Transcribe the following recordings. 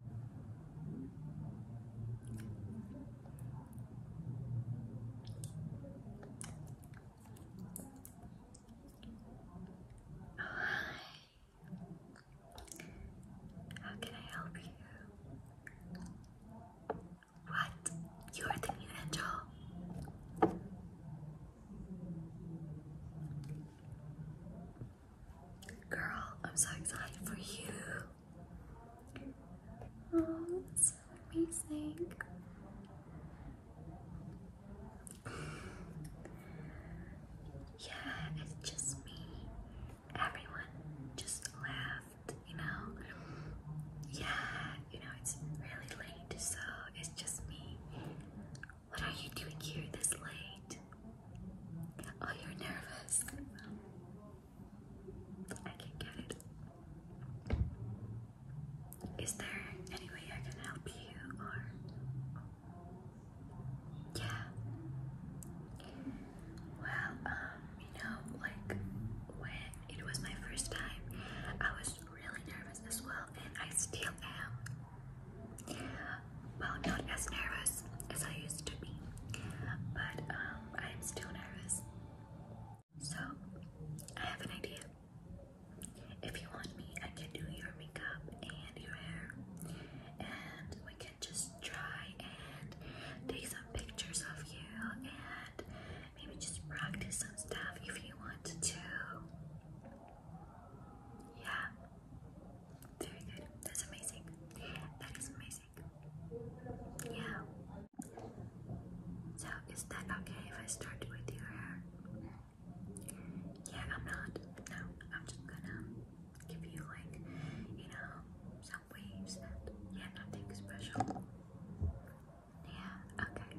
Hi. How can I help you? What? You are the new angel? Girl, I'm so excited for you. Oh, so amazing. yeah, it's just me. Everyone just left, you know. Yeah, you know, it's really late, so it's just me. What are you doing here this late? Oh, you're nervous. I can get it. Is there any way I can help you or yeah. Well, um, you know, like when it was my first time, I was really nervous as well, and I still am. Well, not as nervous as I used to be, but I'm um, still nervous. So, I have an idea. If you want me, I can do your makeup and your hair, and we can just try and take some pictures of you and maybe just practice some stuff if you want to. Yeah. Very good. That's amazing. That is amazing. Yeah. So, is that okay if I start with your hair? Yeah, I'm not. No, I'm just gonna give you, like, you know, some waves yeah, nothing special. Yeah, okay.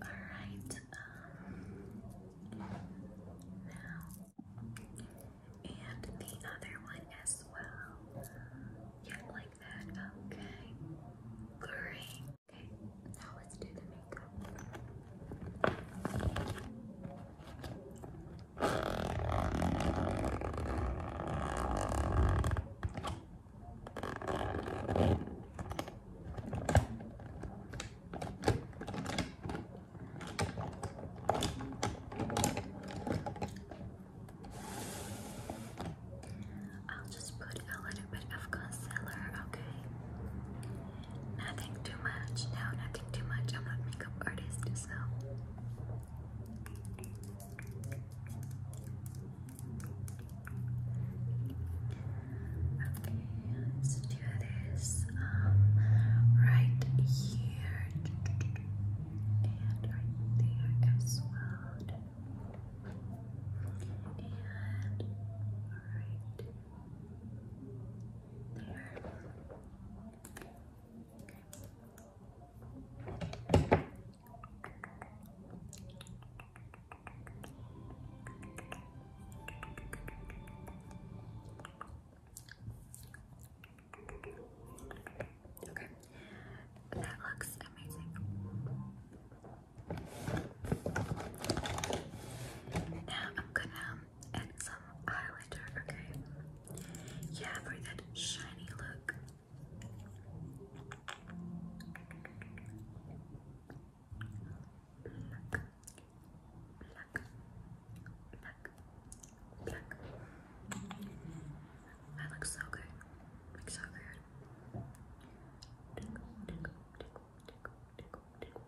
Alright, now, um, and the other one as well. Yeah, like that. Okay, great. Okay, now let's do the makeup. I'll just put a little bit of concealer, okay? Nothing too much, no, nothing too much. I'm not makeup artist, so. Okay, let do this um, right here and right there as well. And right there. Okay, that looks amazing. Now I'm gonna add some highlighter, okay? Yeah, for that shiny look. Black, black, black, black. That looks so good. Looks so good. Tickle, tickle, tickle, tickle, tickle, tickle, tickle,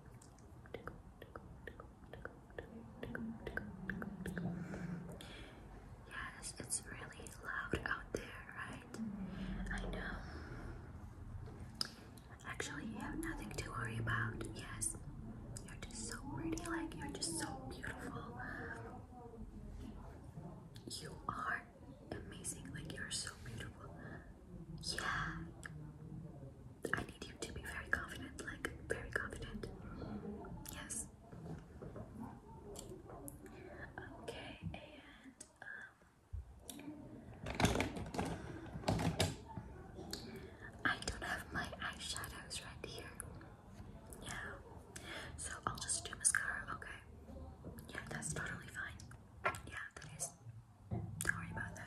tickle, tickle, tickle, tickle, tickle, tickle, tickle, tickle. Yes, it's really loud out there, right? I know. Actually, you have nothing to worry about. Yes, you're just so pretty, like, you're just so beautiful. You are amazing, like, you're so beautiful. Yeah. I need you to be very confident, like very confident. Yes. Okay, and um, I don't have my eyeshadows right here. Yeah, so I'll just do mascara. Okay, yeah, that's totally fine. Yeah, that is. Don't worry about that.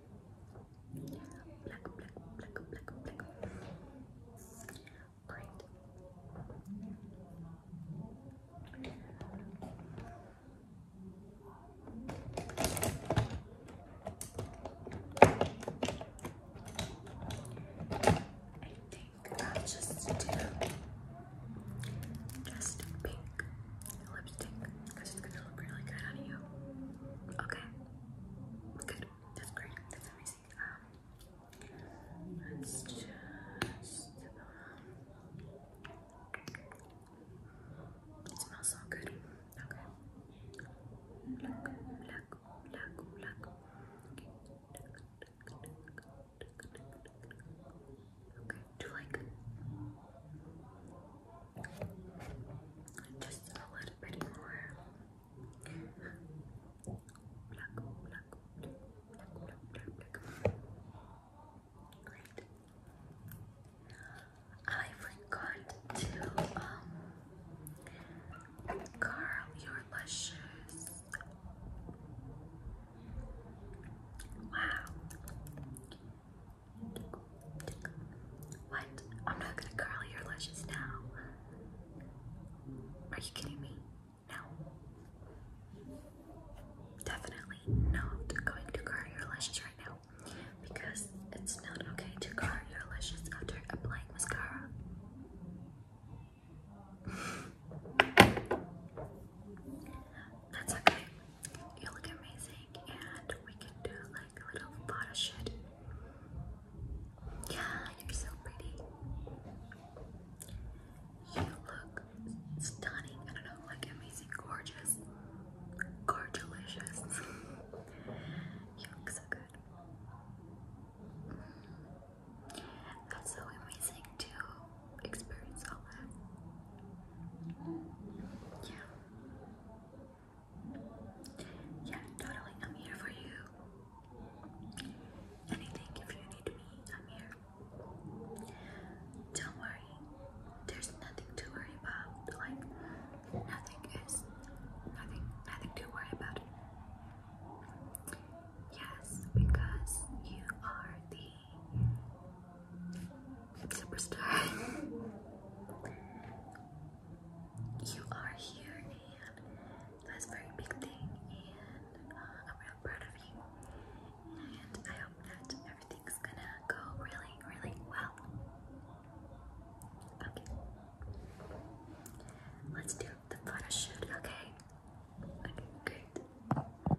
Black, black, black, black, black. Great. I think I'll just do just pink lipstick because it's gonna look really good on you. Okay. That's great. Um, um, it smells so good. Okay. Black, black, black, black. Okay. Okay. Do like just a little bit more. Black, black, black, black, black, black. Great. I forgot to um, curl your lashes. Wow. What? I'm not gonna curl your lashes now. Are you kidding me? No. Definitely not going to curl your lashes right now because it's not okay to curl your lashes after applying mascara. That's okay. You look amazing, and we can do like a little photo shoot. Yeah, you're so pretty. You look stunning. I don't know, like amazing, gorgeous, gorgeous. delicious. you look so good. Mm-hmm. That's so amazing too experience all that. Yeah. Yeah, totally. I'm here for you. Anything if you need me, I'm here. Don't worry. There's nothing to worry about. Like nothing is nothing nothing to worry about. Yes, because you are the Superstar. You are here and that's a very big thing and uh, I'm real proud of you. And I hope that everything's gonna go really, really well. Okay. Let's do the photo shoot, okay? Okay, great.